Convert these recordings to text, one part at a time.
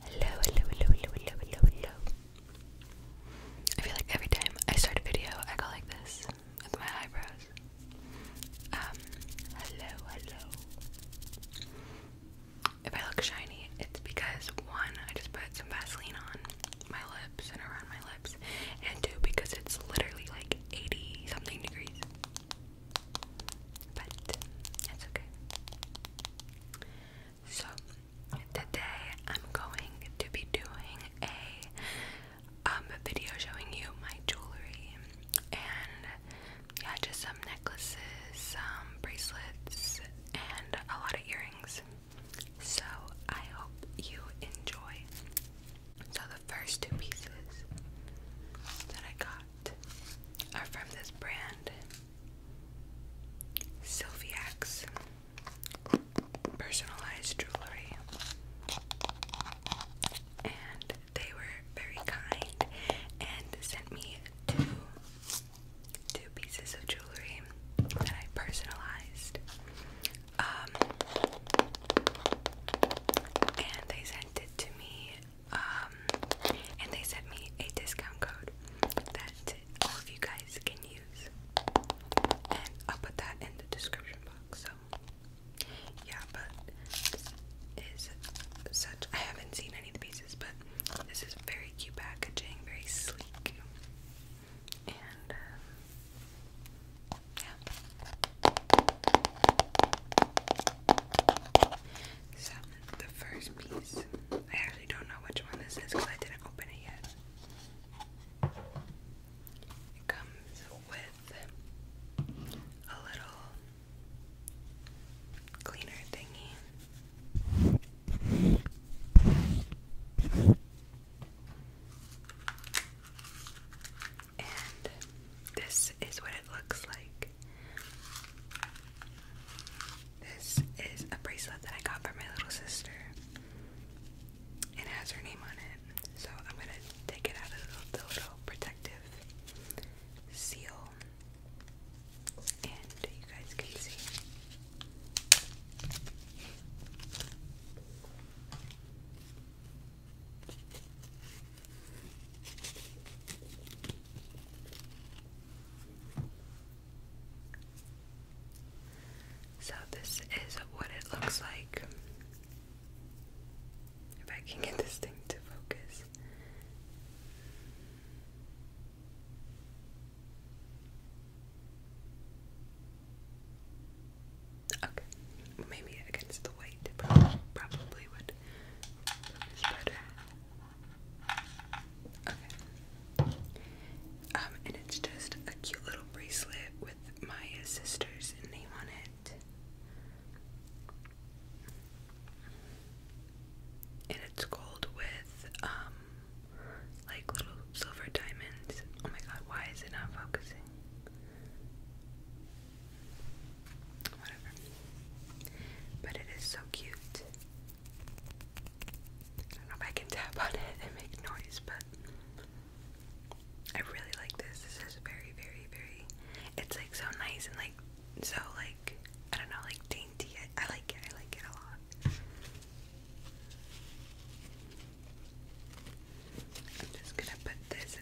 Hello, hello, hello, hello, hello, hello, hello. I feel like every time I start a video, I go like this with my eyebrows. Um, hello, hello. If I look shiny, it's because one, I just put some Vaseline on my lips and around my lips, and two, because it's literally like 80 something degrees but okay. So today I'm going to be doing a um video showing you my jewelry and yeah just some necklaces, some bracelets and a lot of earrings. So I hope you enjoy. So the first two pieces that I got got are from this brand Sylviax personalized jewelry. And they were very kind and sent me two two pieces of jewelry that I personalized. Um and they sent it to me um, and they sent me a discount code that all of you guys can use. And I'll put that in the description box. So, yeah, but this is such. I haven't seen any of the pieces, but this is very cute packaging, very sleek. And, um, yeah. So, the first piece, I actually don't know which one this is because I didn't open it yet. It comes with a little cleaner thingy. And this is what it looks like. This is a bracelet that I got for my little sister. It has her name on it. So I'm going to take it out of the little protective seal. And you guys can see. So, this is what it looks like. If I can get this thing to focus. Okay, maybe against the white, probably, would good. better. Um, and it's just a cute little bracelet with Maya's sister's name on it. And it's gold with, um, like little silver diamonds. Oh my god, why is it not focusing? Whatever. But it is so cute. I don't know if I can tap on it and make noise, but I really like this. This is very, very, very. It's like so nice and like so like I don't know, like dainty. I, like it. I like it a lot. I'm just gonna put this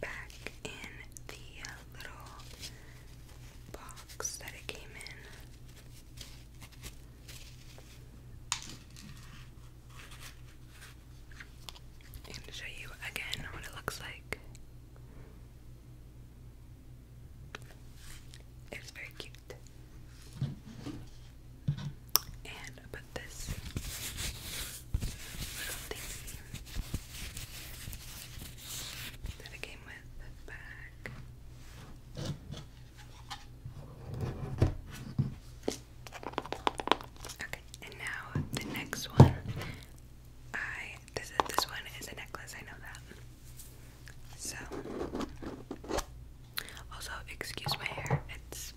back in the little box that it came in. I'm gonna show you again what it looks like. It's very cute. And put this Okay, and now the next one. I this this one is a necklace. I know that. So, also excuse my hair. It's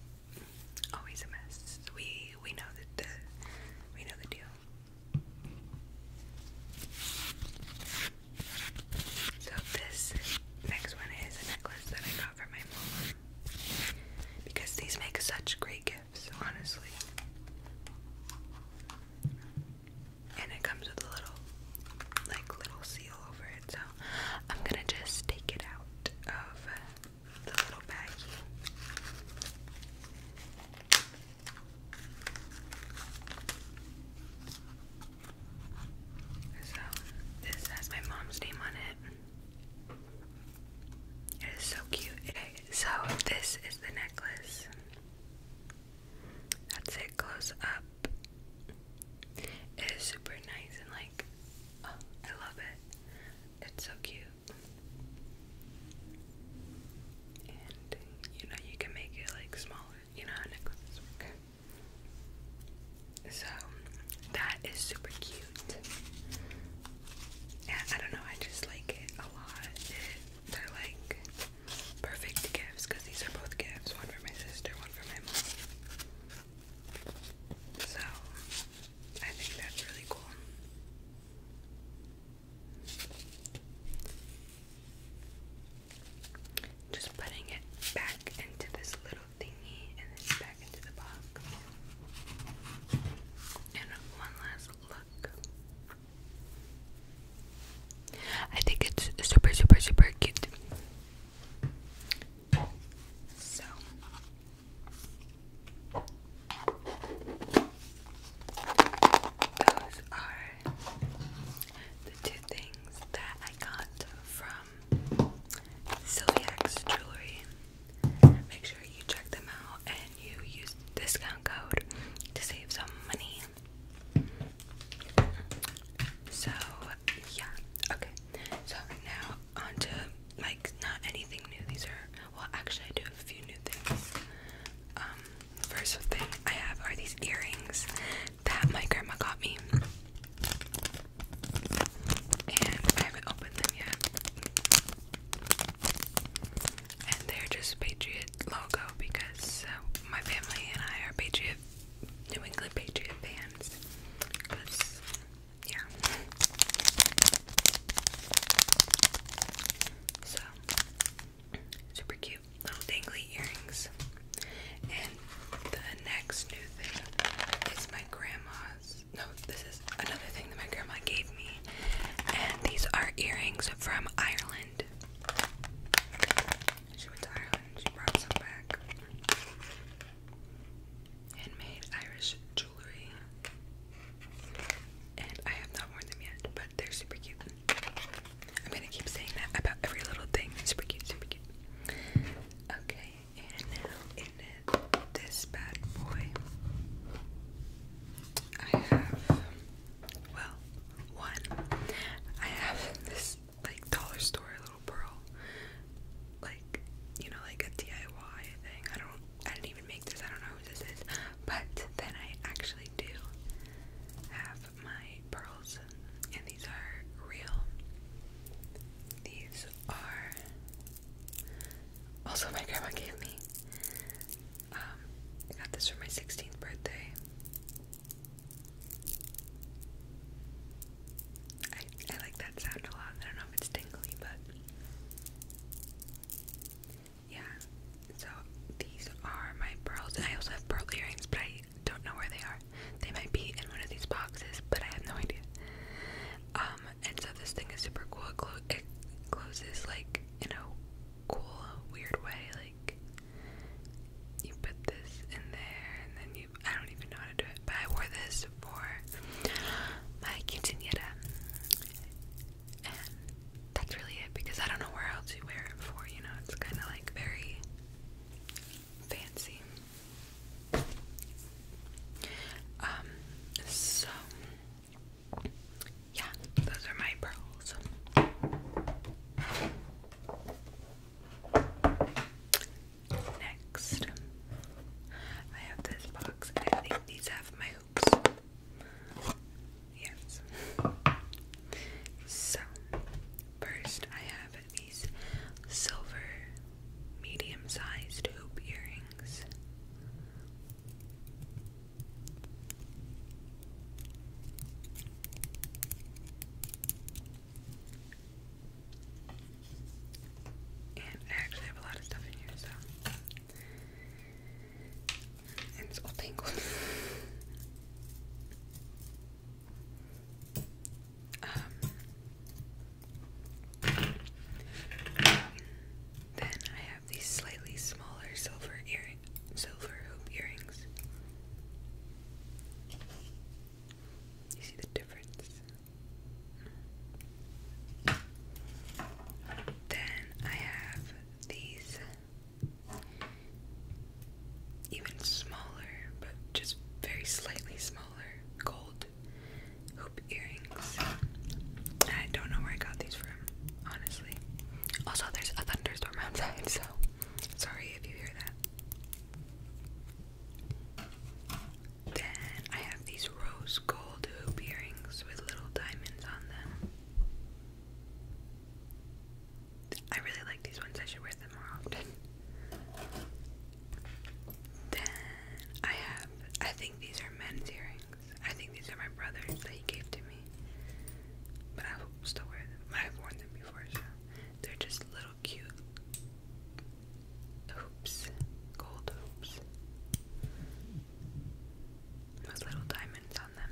always a mess. We we know that the we know the deal. So this next one is a necklace that I got from my mom because these make such great gifts, honestly. And it comes with a little like little seal over it, so I'm gonna just take it out of uh, so, this has my mom's name on it. It is so cute. so this is the necklace. That's it, close up. It is super nice and like, oh, I love it. It's so cute. And you know, you can make it like smaller, you know how necklaces work. So that is super cute. And I don't know, I just like it a lot. It, like perfect gifts because these are both gifts one for my sister, one for my mom. So I think that's really cool. Just putting it back into this little thingy and then back into the box. And one last look. I think it's super, super, super cute. So those are the two things that I got from Silviax Jewelry. Make sure you check them out and you use discount code to save some money. So, yeah, okay. So now onto like not anything new. These are well, actually, I do have a few new things. Um, first thing I have are these earrings that my grandma got me, and I haven't opened them yet. And they're just Patriot logo because uh, my family and I are Patriot, New England Patriot fans yeah. So, super cute little dangly earrings. And the next new thing is my grandma's. No, this is another thing that my grandma gave me. And these are earrings from Ireland. She went to Ireland, she brought some back. Handmade Irish and I have not worn them yet, but they're super cute. I'm gonna keep saying that about every little thing. Super cute, super cute. Okay, and now in this bad boy, I have, well, one. I have this, like, dollar store little pearl like you know like a DIY thing. I don't I didn't even make this. I don't know who this is. But then I actually do have my pearls and these are real. These are also my grandma gave me. Um, I got this for my 16th birthday. I, I like that sound a lot. I don't know if it's tingly, but yeah. So these are my pearls, I also have pearl earrings, but I don't know where they are. They might be in one of these boxes, but I have no idea. Um, and so this thing is super cool. it closes like in a cool, weird way. Like you put this in there, and then you I don't even know how to do it, but I wore this for my quinceanera, and that's really it because I don't know where else you wear it for. You know, it's kind of like very fancy. Um, so yeah, those are my pearls. Next, I have this box, I think these have my hoops. Yes. So, first I have these silver medium sized hoop earrings. And I actually have a lot of stuff in here, so. it's all tangled. Um. then I have these slightly smaller silver earring, silver hoop earrings. You see the difference? Then I have these even smaller, but just very slightly smaller gold hoop earrings. I don't know where I got these from, honestly. Also, there's a thunderstorm outside, so sorry if you hear that. Then I have these rose gold hoop earrings with little diamonds on them. I really like these ones, I should wear them more often. Then I have, I think these are men's earrings. I think these are my brother's that he gave to me. But I still wear them. I've worn them before, so they're just little cute hoops, gold hoops with little diamonds on them.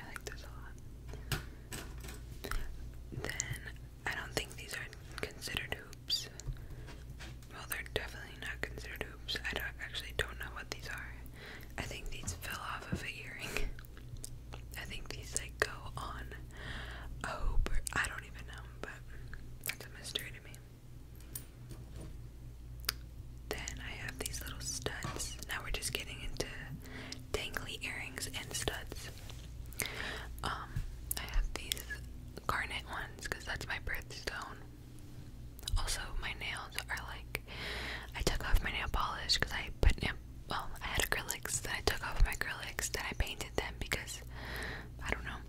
I like this a lot. Then, I don't think these are considered hoops. Well, they're definitely not considered hoops. I actually don't know what these are. I think these fell off of a earring. I think these like go on a hoop. I don't even know, but that's a mystery to me. Then I have these little studs. Now we're just getting into dangly earrings and studs. Um, I have these garnet ones because that's my birthstone. Also, my nails are like I took off my nail polish because I put nail. Well, I had acrylics, then I took off my acrylics, then I painted them because I don't know,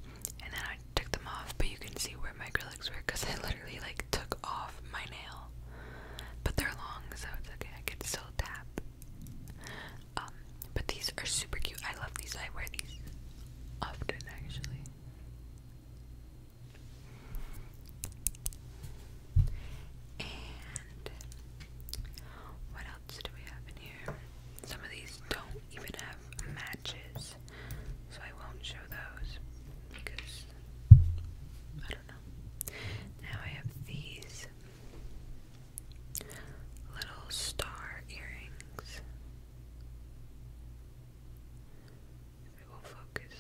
and then I took them off. But you can see where my acrylics were because I literally like took off my nail, but they're long, so it's okay. I could still tap. Um, but these are super cute. I love these. I wear these often, actually. And what else do we have in here? Some of these don't even have matches, so I won't show those because I don't know. Now I have these little star earrings will focus.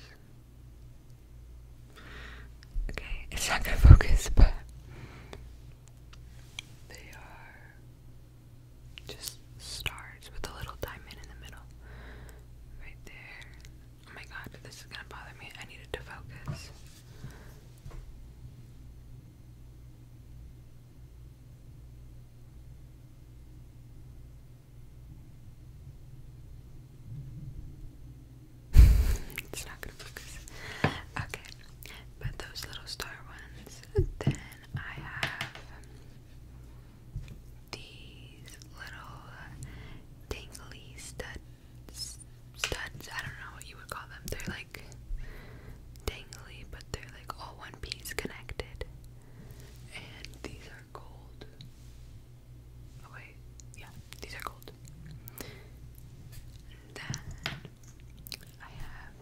Okay, it's not gonna focus, but they are just stars with a little diamond in the middle. Right there. Oh my god, this is gonna bother me. I needed to focus it's not gonna focus. Okay, but those little star ones. Then I have these little dangly studs. Studs. I don't know what you would call them. They're like dangly, but they're like all one piece connected. And these are gold. Oh wait, yeah, these are gold. then I have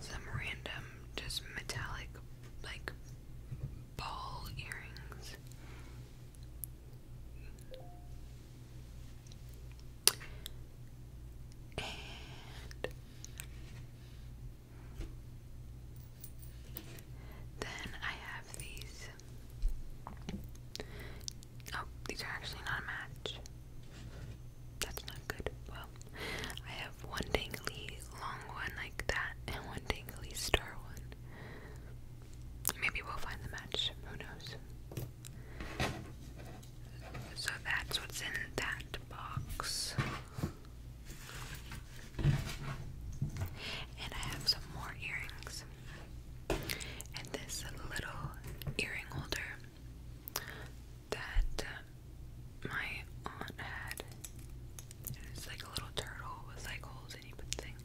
some random, just metallic, like ball earrings. And then I have these. Oh, these are actually not a match. That's not good. Well, I have one dangly long one like that and one dangly star one. Maybe we'll find the match. Who knows? So that's what's in that box. And I have some more earrings. And this little earring holder that my aunt had. it's like a little turtle with like holes and you put things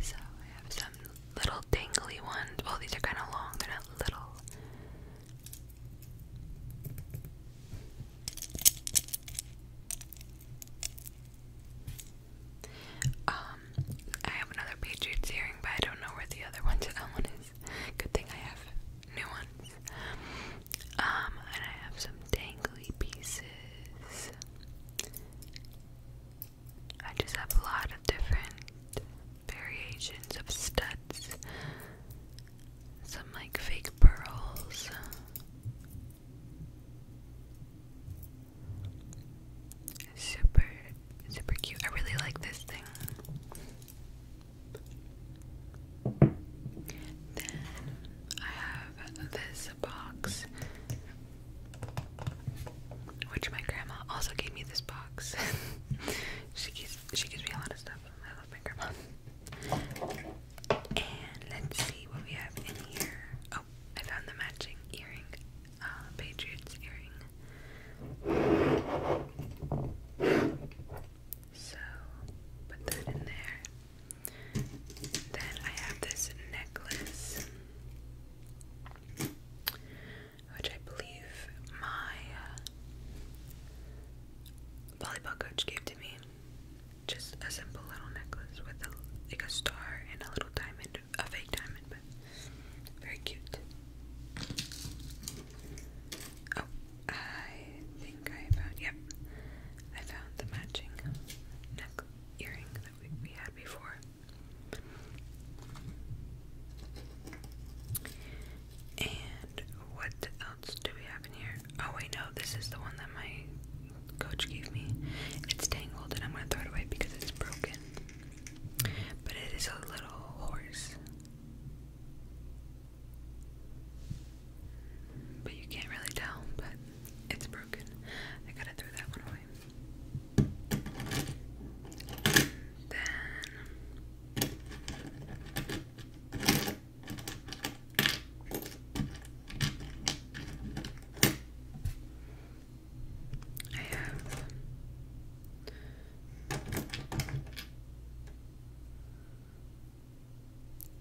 so I have some little dangly ones. Well, these are kind of long, they're not little. Um, I have another Patriots earring, but I don't know where the other one to that one is. Good thing I have new ones. Um, and I have some dangly pieces. I just have a lot of different variations of studs. Some like fake pearls. Super, super cute. I really like this thing. Then I have this box which my grandma also gave me this box. she gives she gives me a lot of stuff. I love my grandma. And let's see what we have in here. Oh, I found the matching earring. Uh, Patriots earring. So put that in there. Then I have this necklace which I believe my uh, volleyball coach gave to me. Just a simple little necklace with like a star and a little diamond, a fake diamond, but very cute. Oh, I think I found, yep, I found the matching neck earring that we had before. And what else do we have in here? Oh, wait, no, this is the one that my coach gave me. It's tangled, and I'm going to throw it away because it's broken. But it is a little horse. But you can't really tell, but it's broken. I gotta throw that one away anyway. Then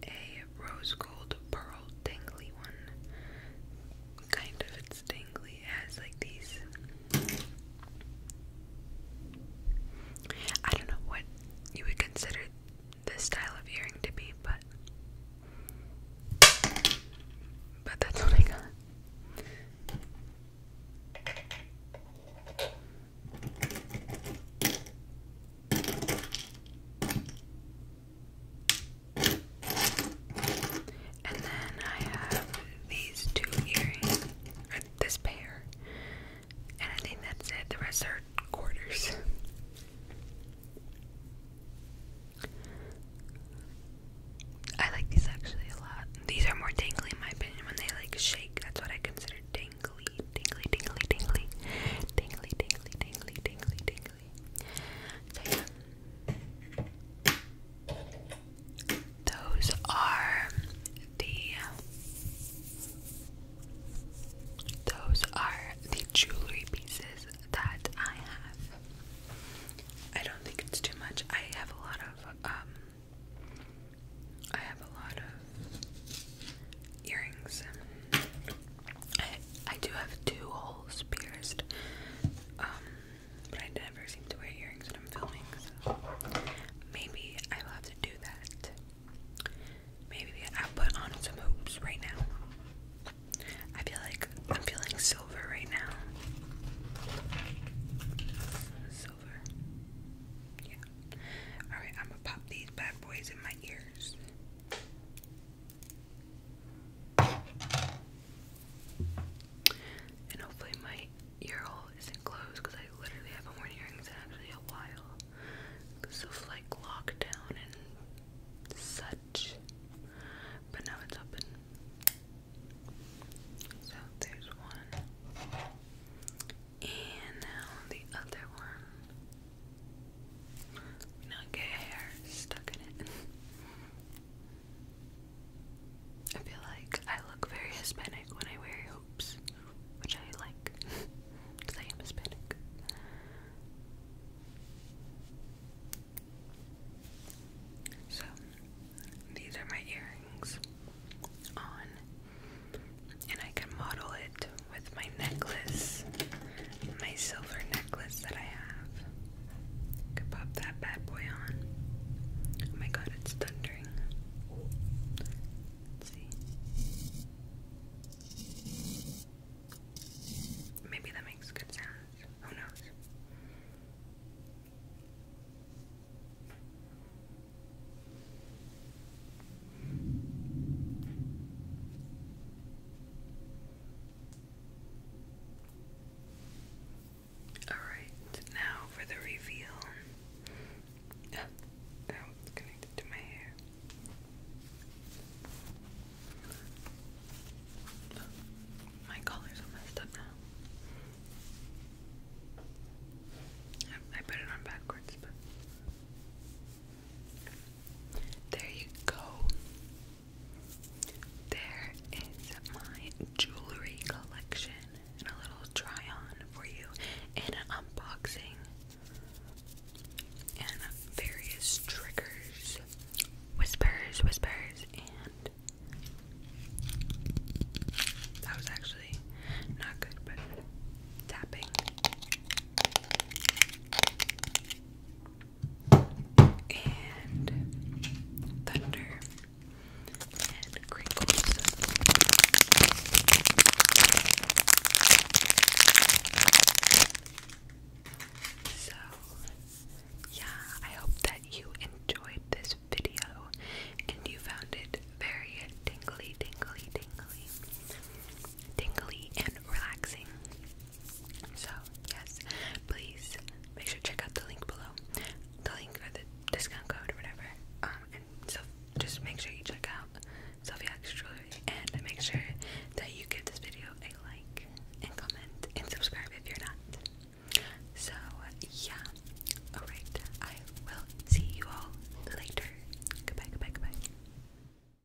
I have a rose gold pearl dangly one kind of it's has like these I don't know what you would consider this style of earring to be, but but that's what I got. And then I have these two earrings, or this pair, and I think that's it. The rest are quarters. I like these actually a lot. These are more dangly in my opinion when they like shake. That's what I consider dangly, dangly, dangly, dangly, dangly, dangly, dangly, dangly, dangly, dangly actually. Those are the those are the jewelry pieces that I have. I don't think it's too much. I have a lot of um, I have a lot of earrings. I, do have two holes pierced, um, but I never seem to wear earrings when I'm filming, maybe I will have to do that. Maybe I'll put on some hoops right now. I feel like I'm feeling silver right now. Silver. Yeah. Alright, I'm gonna pop these bad boys in my ears. And hopefully my ear hole isn't closed because I literally haven't worn earrings actually a while. Because of like lockdown and such. But now it's open. So there's one. And now the other one. Not get hair stuck in it. I feel like I look very Hispanic when I wear hoops, which I like because I am Hispanic. So, these are my earrings on, and I can model it with my necklace my silver necklace that I have. I pop that bad boy on. Oh my god, it's thundering. Let's see. Maybe that makes good sounds. Who knows? Alright, now for the reveal. Oh, that was connected to my hair. my collars are messed up now. I put it on backwards, but. There you go. There is my jewelry collection and a little try on for you and an unboxing and various triggers, whispers, whispers, and that was actually not good, but tapping and thunder and crinkles. So, yeah, I hope that you enjoyed this video and you found it very tingly, tingly, tingly, tingly, and relaxing. So, yes, please make sure to check out the link below. The link or the discount code or whatever. Um, and so just make sure you check out Sophia X Jewelry and make sure that you give this video a like and comment and subscribe if you're not. So, yeah. Alright, I will see you all later. Goodbye, goodbye, goodbye.